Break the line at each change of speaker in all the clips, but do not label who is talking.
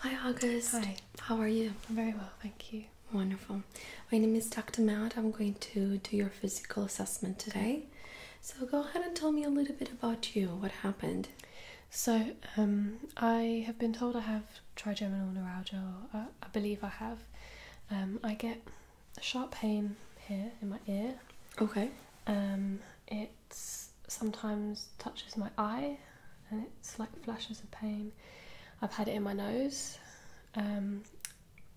Hi August. Hi. How are you? very well, thank you. Wonderful. My name is Dr. Matt. I'm going to do your physical assessment today.
So go ahead and tell me a little bit about you. What happened? So um, I have been told I have trigeminal neuralgia. I, believe I have. Um, I get a sharp pain here in my ear. Okay. Um, it sometimes touches my eye, and it's like flashes of pain. I've had it in my nose, um,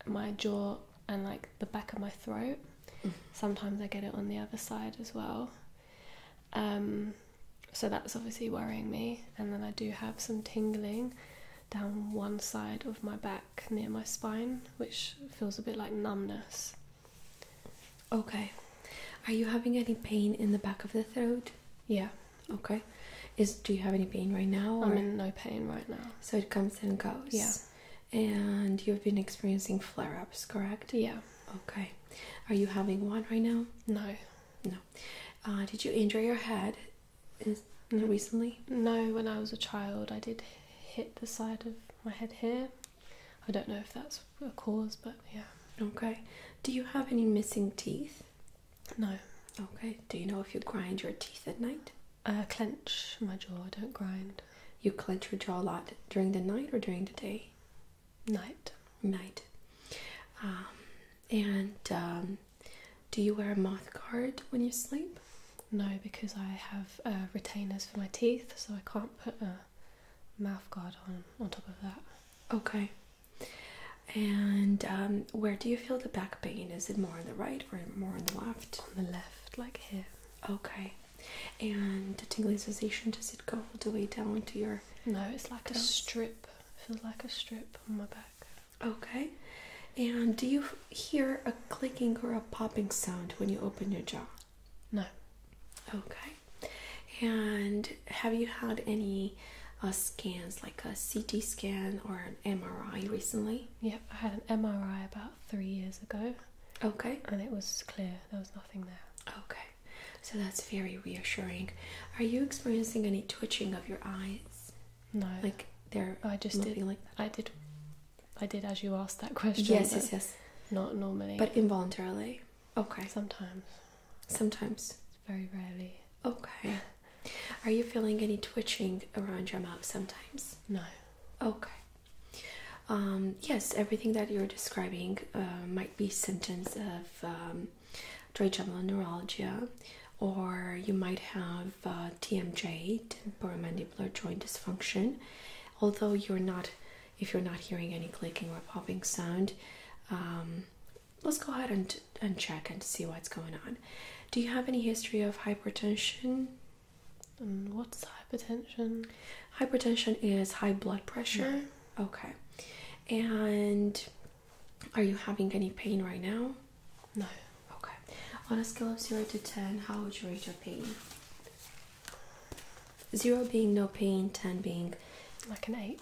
my jaw, and like the back of my throat. Mm. Sometimes I get it on the other side as well. Um, so that's obviously worrying me. And then I do have some tingling down one side of my back near my spine, which feels a bit like numbness.
Okay. Are you having any pain in the back of the throat? Yeah. Okay. Is do you have any pain right now? I'm in no pain right now. So it comes and goes. Yeah. And you've been experiencing flare ups, correct? Yeah. Okay. Are you having one right now? No. No. Uh,
did you injure your head is recently? No, when I was a child, I did hit the side of my head here. I don't know if that's a cause, but yeah.
Okay. Do you have any missing teeth? No. Okay. Do you know if you grind your teeth at night? Uh, clench my jaw. don't grind. You clench your jaw a lot during the night or during the day? Night. Night. Um,
and um, do you wear a mouth guard when you sleep? No, because I have uh, retainers for my teeth, so I can't put a mouth guard on on top of that.
Okay. And um, where do you feel the back pain? Is it more on the right or more on the left? On the left, like here. Okay. And the tingling sensation does it go all the way down to your? No, it's like
a strip. It feels like a strip
on my back. Okay. And do you hear a clicking or a popping sound when you open your jaw? No. Okay. And have you had any uh, scans like a CT scan or an MRI recently?
Yep, I had an MRI about three years ago.
Okay. And it was clear, there was nothing there. Okay. So that's very reassuring. Are you experiencing any twitching of your eyes?
No. Like they I just did, I did I did as you asked that question. Yes, yes, yes. Not normally. But
involuntarily. Okay. Sometimes. Sometimes. Very rarely. Okay. Are you feeling any twitching around your mouth sometimes? No. Okay. Um, yes, everything that you're describing uh, might be symptoms of trigeminal um, neuralgia, or you might have of uh, TMJ, temporomandibular joint dysfunction. Although you're not, if you're not hearing any clicking or popping sound, um, let's go ahead and and check and see what's going on. Do you have any history of hypertension? Um, what's hypertension? Hypertension is high blood pressure. Okay. And are you having any pain right now? No. Okay. On a scale of 0 to 10, how would you rate your pain? 0 being no pain, 10 being like an 8.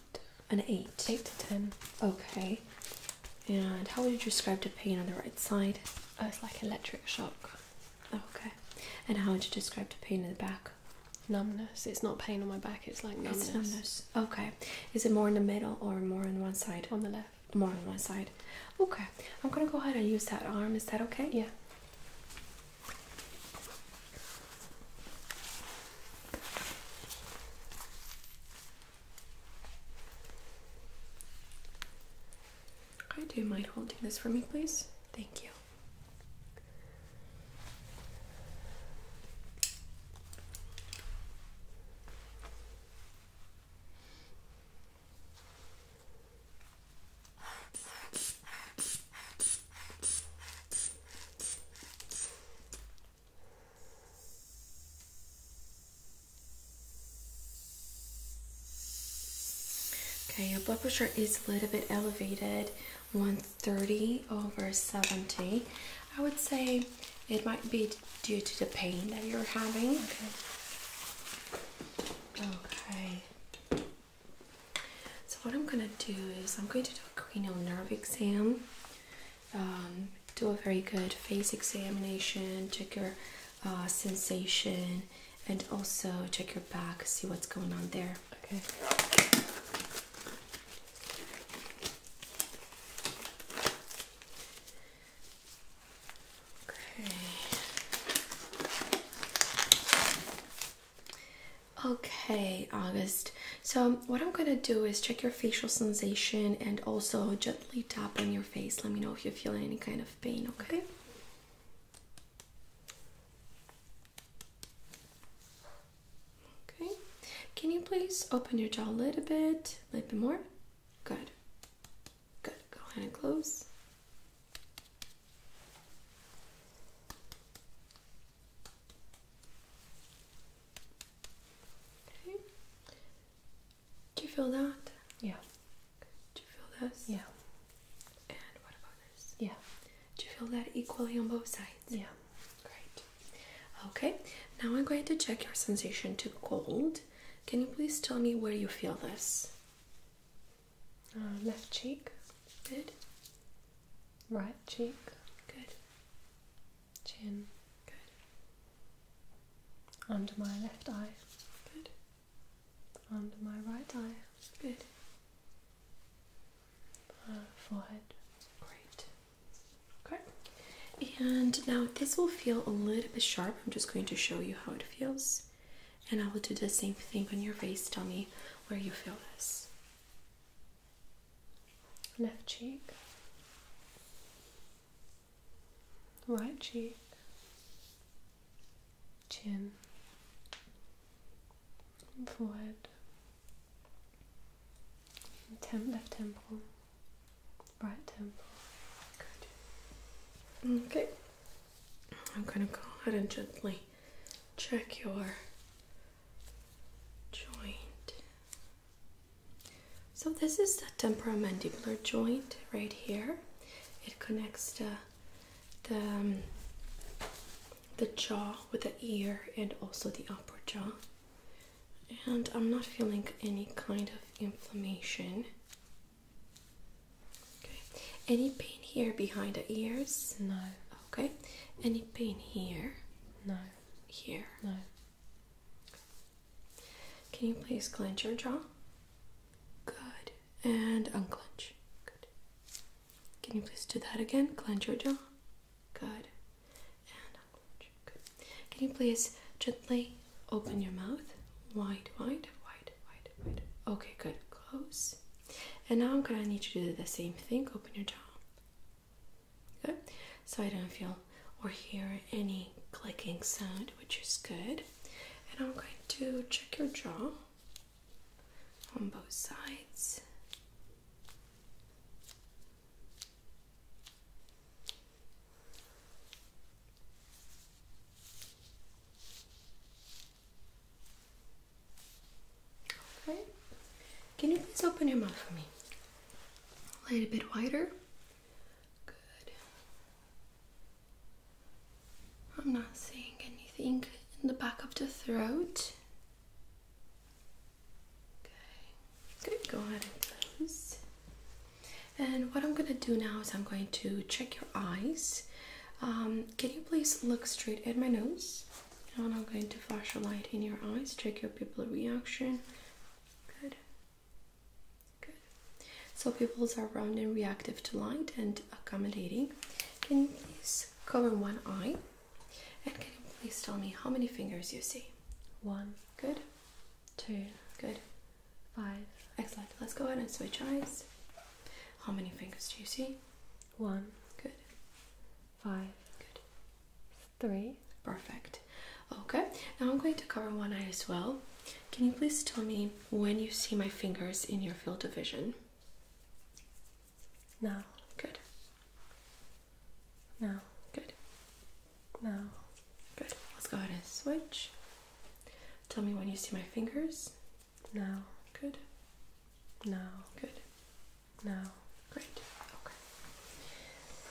An 8. 8 to 10. Okay. And how would you describe
the pain on the right side? Oh, it's like electric shock. Okay. And how would you describe the pain in the back? Numbness. It's not pain on my back, it's like numbness. It's numbness. Okay. Is it more in the middle or more on one side? On the left more on one side. Okay, I'm
gonna go ahead and use that arm. Is that okay? Yeah. Okay, do you mind holding this for me, please? Thank you. Okay, your blood pressure is a little bit elevated, 130 over 70. I would say it might be due to the pain that you're having. Okay. So what I'm gonna do is I'm going to do a cranial nerve exam. Um, do a very good face examination, check your uh, sensation, and also check your back, see what's going on there. Okay. Okay. Okay, August. So, um, what I'm gonna do is check your facial sensation and also gently tap on your face. Let me know if you're feeling any kind of pain, okay? Okay. Can you please open your jaw a little bit, a little bit more? Good. Good. Go ahead and close. Okay. Do you feel that? Yeah. Do you feel this? Yeah. And what about this? Yeah. Do you feel that equally on both sides? Yeah. Great. Okay, now I'm going to check your sensation to cold. Can you please tell me where you feel this?
Uh, left cheek. Good. Right cheek. Good. Chin. Good. Under my left eye. Good. Under my right eye. Good. Uh, forehead. Great.
Okay. And now this will feel a little bit sharp. I'm just going to show you how it feels. And I will do the same thing on your face. Tell me where you feel this.
Left cheek. Right cheek. Chin. Forehead. left temple. Right temple.
Um, okay. I'm gonna go ahead and gently check your joint. So this is the temporomandibular joint right here. It connects the the um, the jaw with the ear and also the upper jaw and I'm not feeling any kind of inflammation. Okay, any pain here behind the ears? No. Okay, any pain here? No. Here? No. Can you please clench your jaw? Good. And unclench. Good. Can you please do that again? Clench your jaw. Good. And good. Can you please gently open your mouth? Wide, wide, wide, wide, wide. Okay, good. Close. And now I'm gonna need you to do the same thing. Open your jaw. Good. So I don't feel or hear any clicking sound, which is good. And I'm going to check your jaw on both sides. Can you please open your mouth for me? A little bit wider. Good. I'm not seeing anything in the back of the throat. Okay, good. Go ahead and close. And what I'm gonna do now is I'm going to check your eyes. Um, can you please look straight at my nose? And I'm going to flash a light in your eyes. Check your pupil reaction. Good. Good. So pupils are round and reactive to light and accommodating. Can you please cover one eye? And can you please tell me how many fingers you see? One. Good two, good, five. Excellent. Let's go ahead and switch eyes. How many fingers do you see? One, good, five, good, three. Perfect. Okay, now I'm going to cover one eye as well. Can you please tell me when you see my fingers in your field of vision?
Now. Good. Now. Good. Now, good. Let's go ahead and switch.
Tell me when you see my fingers. Now, good. Now, good. Now, great. Okay.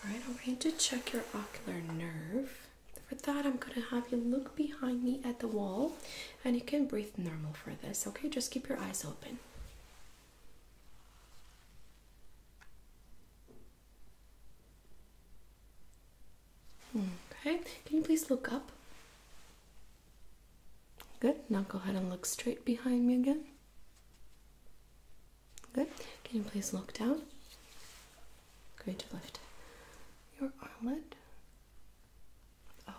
All right, I'm going to check your ocular nerve. For that, I'm going to have you look behind me at the wall and you can breathe normal for this, okay? Just keep your eyes open. Okay, can you please look up? Good. Now go ahead and look straight behind me again. Good. Can you please look down? Great. Lift your eyelid.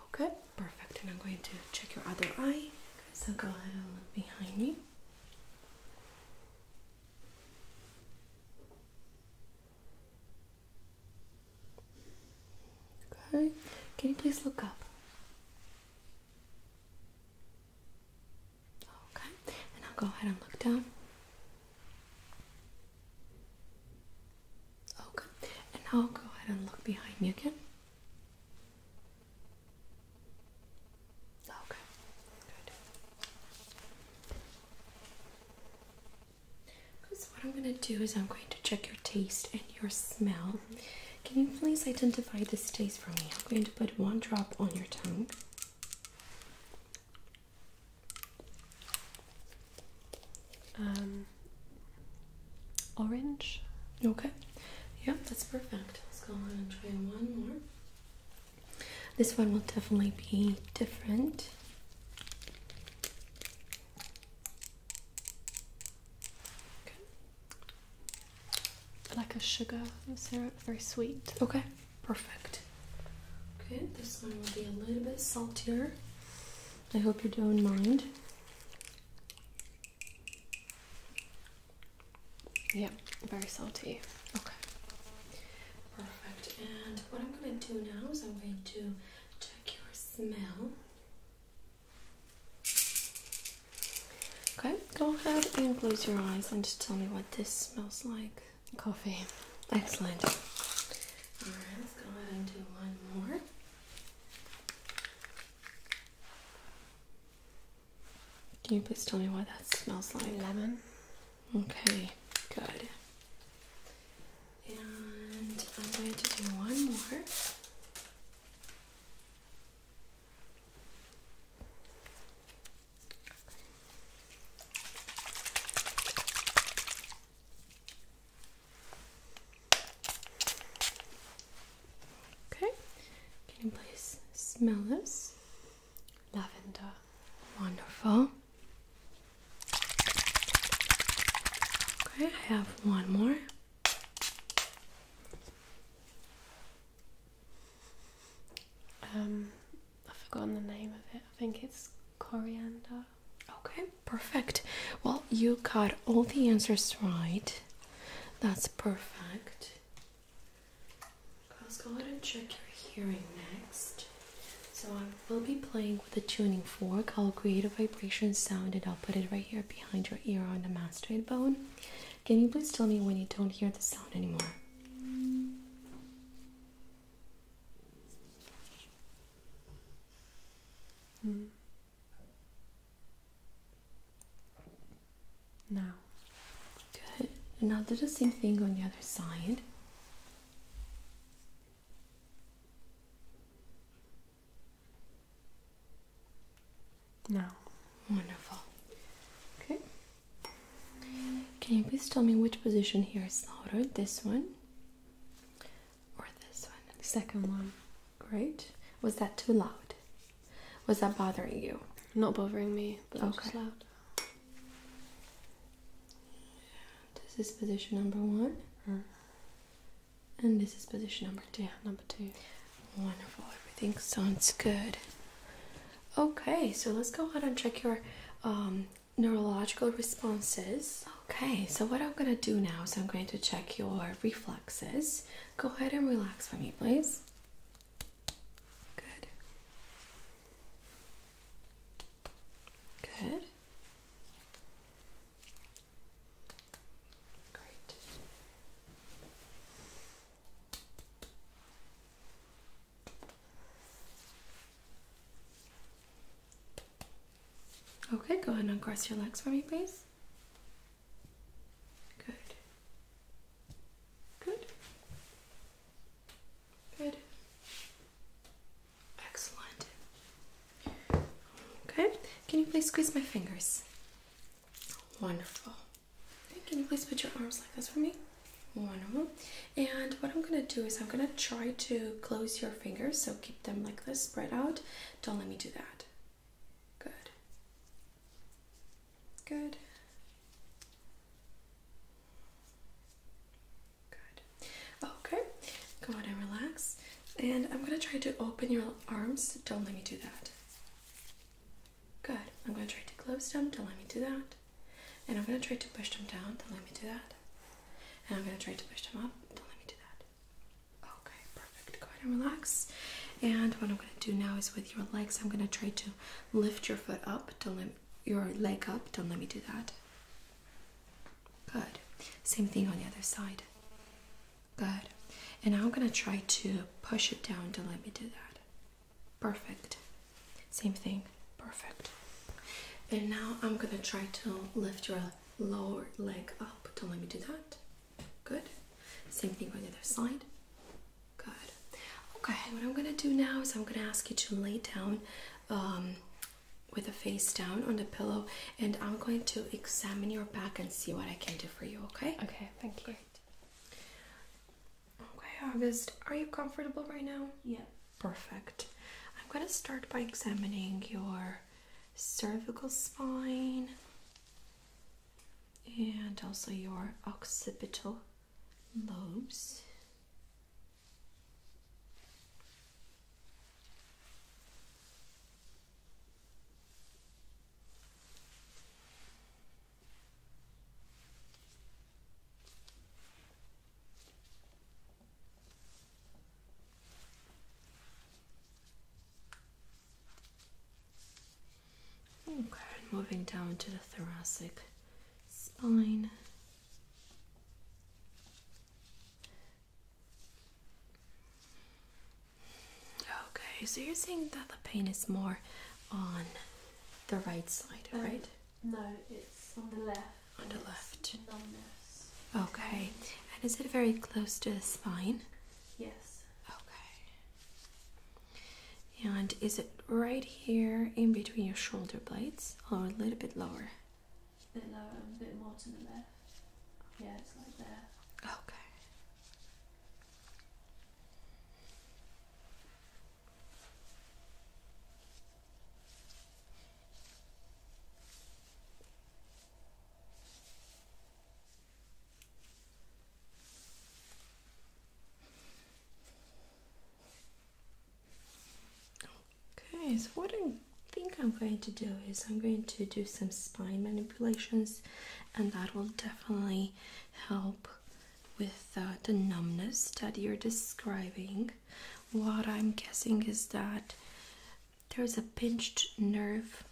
Okay, perfect. And I'm going to check your other eye. Okay, so go ahead and look behind me. Okay, can you please look up? Okay, and I'll go ahead and look down. Okay, and now I'll go ahead and look behind me again. Okay, good. So what I'm going to do is I'm going to check your taste and your smell. Mm -hmm. Can you please identify this taste for me? I'm going to put one drop on your tongue. Um, orange. Okay. Yeah, that's perfect. Let's go ahead and try one more. This one will definitely be different.
Like a sugar syrup, very sweet. Okay, perfect. Okay, this one will be a little bit
saltier. I hope you don't mind.
Yeah, very salty. Okay.
Perfect. And what I'm going to do now is I'm going to take your smell. Okay, go ahead and close your eyes and just tell me what this smells like. Coffee. Excellent. Alright, let's go ahead and do one more. Can you please tell me why that smells like lemon? Okay, good. And I'm going to do one more. Okay, can you please smell this? Lavender, wonderful. Okay, I have one more.
Um, I've forgotten the name of it. I think it's coriander. Okay, perfect.
Well, you got all the answers right. That's perfect. Let's go ahead and check your hearing next. So I will be playing with a tuning fork. I'll create a vibration sound and I'll put it right here behind your ear on the mastoid bone. Can you please tell me when you don't hear the sound anymore?
Mm. Now, good.
And i do the same thing on the other side. Now, wonderful. Okay. Can you please tell me which position here is louder? This one or this one? The second one. Great. Was that too loud? Was that bothering you?
Not bothering me,
but okay. just loud. This is position number one. Mm. And this is position number two. number two. Wonderful. Everything sounds good. Okay, so let's go ahead and check your um, neurological responses. Okay, so what I'm gonna do now is I'm going to check your reflexes. Go ahead and relax for me, please. Good. Good. Great. Okay, go ahead and cross your legs for me, please. Good. Good. Good. Excellent. Okay. Can you please squeeze my fingers? Wonderful. can you please put your arms like this for me? Wonderful. And what I'm gonna do is I'm gonna try to close your fingers, so keep them like this, spread out. Don't let me do that. Good. Good. Good. Okay. Go on and relax. And I'm going to try to open your arms. Don't let me do that. Good. I'm going to try to close them. Don't let me do that. And I'm going to try to push them down. Don't let me do that. And I'm going to try to push them up. Don't let me do that. Okay, Go ahead and relax. And what I'm going to do now is with your legs, I'm going to try to lift your foot up. Don't let your leg up. Don't let me do that. Good. Same thing on the other side. Good. And now I'm going to try to push it down. Don't let me do that. Perfect. Same thing. Perfect. And now I'm going to try to lift your lower leg up. Don't let me do that. Good. Same thing on the other side. Good. Okay, what I'm gonna do now is I'm gonna ask you to lay down um, with a face down on the pillow and I'm going to examine your back and see what I can do for you, okay? Okay, thank you. Okay, August, are you comfortable right now? Yeah. Perfect. I'm gonna start by examining your cervical spine and also your occipital lobes. Okay, moving down to the thoracic spine.
Okay, so you're saying that the
pain is more on the right side, right?
No, it's on the left. On the left. Numbness.
Okay, and is it very close to the spine?
Yes. Okay.
And is it right here in between your shoulder blades or a little bit lower?
A bit lower, a bit more to the left. Yeah, it's like there. Okay.
Okay, so what I think I'm going to do is I'm going to do some spine manipulations, and that will definitely help with uh, the numbness that you're describing. What I'm guessing is that there's a pinched nerve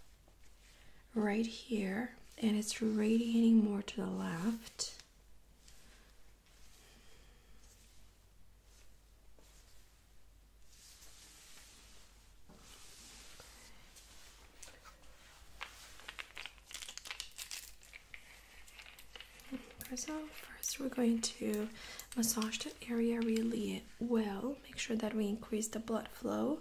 right here and it's radiating more to the left. So first we're going to massage the area really well. Make sure that we increase the blood flow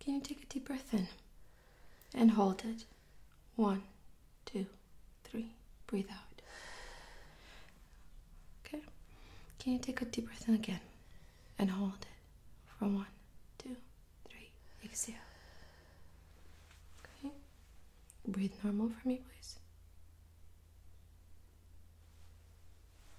Can you take a deep breath in and hold it? One, two, three. Breathe out. Okay. Can you take a deep breath in again and hold it for one, two, three. Exhale. Okay. Breathe normal for me, please.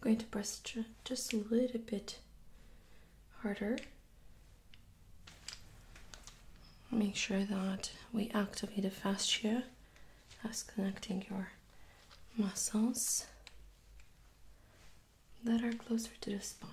I'm going to press just a little bit harder. Make sure that we activate the fascia as connecting your muscles that are closer to the spine.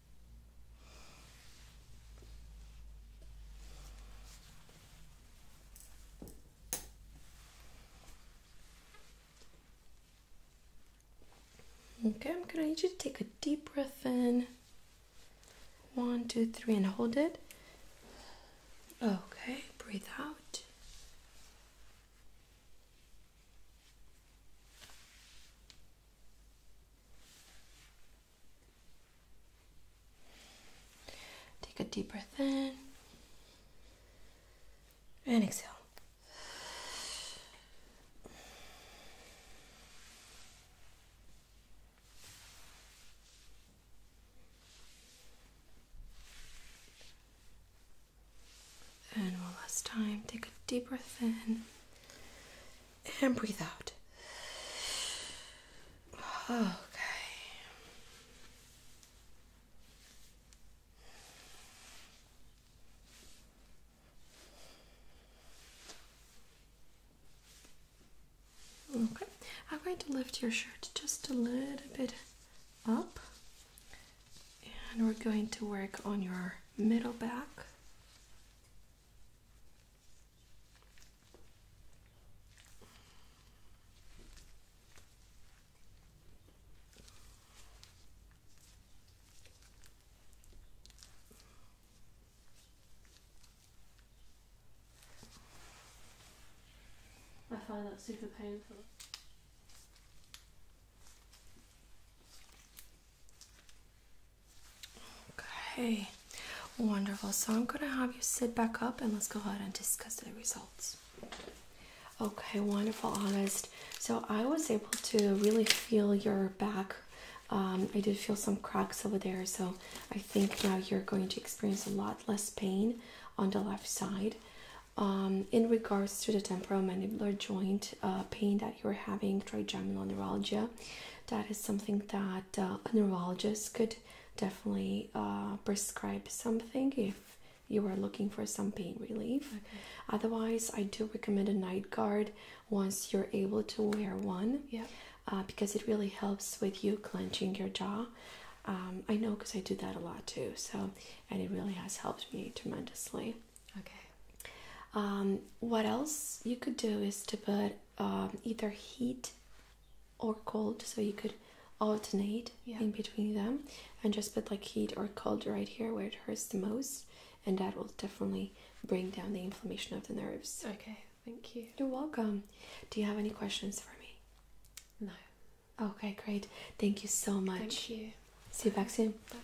Okay, I'm gonna need you to take a deep breath in. One, two, three, and hold it. Okay, breathe out. Take a deep breath in and exhale. And one last time, take a deep breath in and breathe out. Okay. Okay, I'm going to lift your shirt just a little bit up, and we're going to work on your middle back.
I find that super painful.
Okay, wonderful. So I'm going to have you sit back up and let's go ahead and discuss the results. Okay, wonderful, honest. So I was able to really feel your back. Um, I did feel some cracks over there, so I think now you're going to experience a lot less pain on the left side. Um, in regards to the temporomandibular joint uh, pain that you're having, trigeminal neuralgia, that is something that uh, a neurologist could definitely uh, prescribe something if you are looking for some pain relief. Otherwise, I do recommend a night guard once you're able to wear one. Yeah. Uh, because it really helps with you clenching your jaw. Um, I know because I do that a lot too. So, and it really has helped me tremendously. Okay. Um, what else you could do is to put um, either heat or cold, so you could alternate in between them, and just put like heat or cold right here where it hurts the most, and that will definitely bring down the inflammation of the nerves.
Okay. Thank
you. You're welcome. Do you have any questions for me? No. Okay, great. Thank you so much. Thank you. See you back soon. Bye.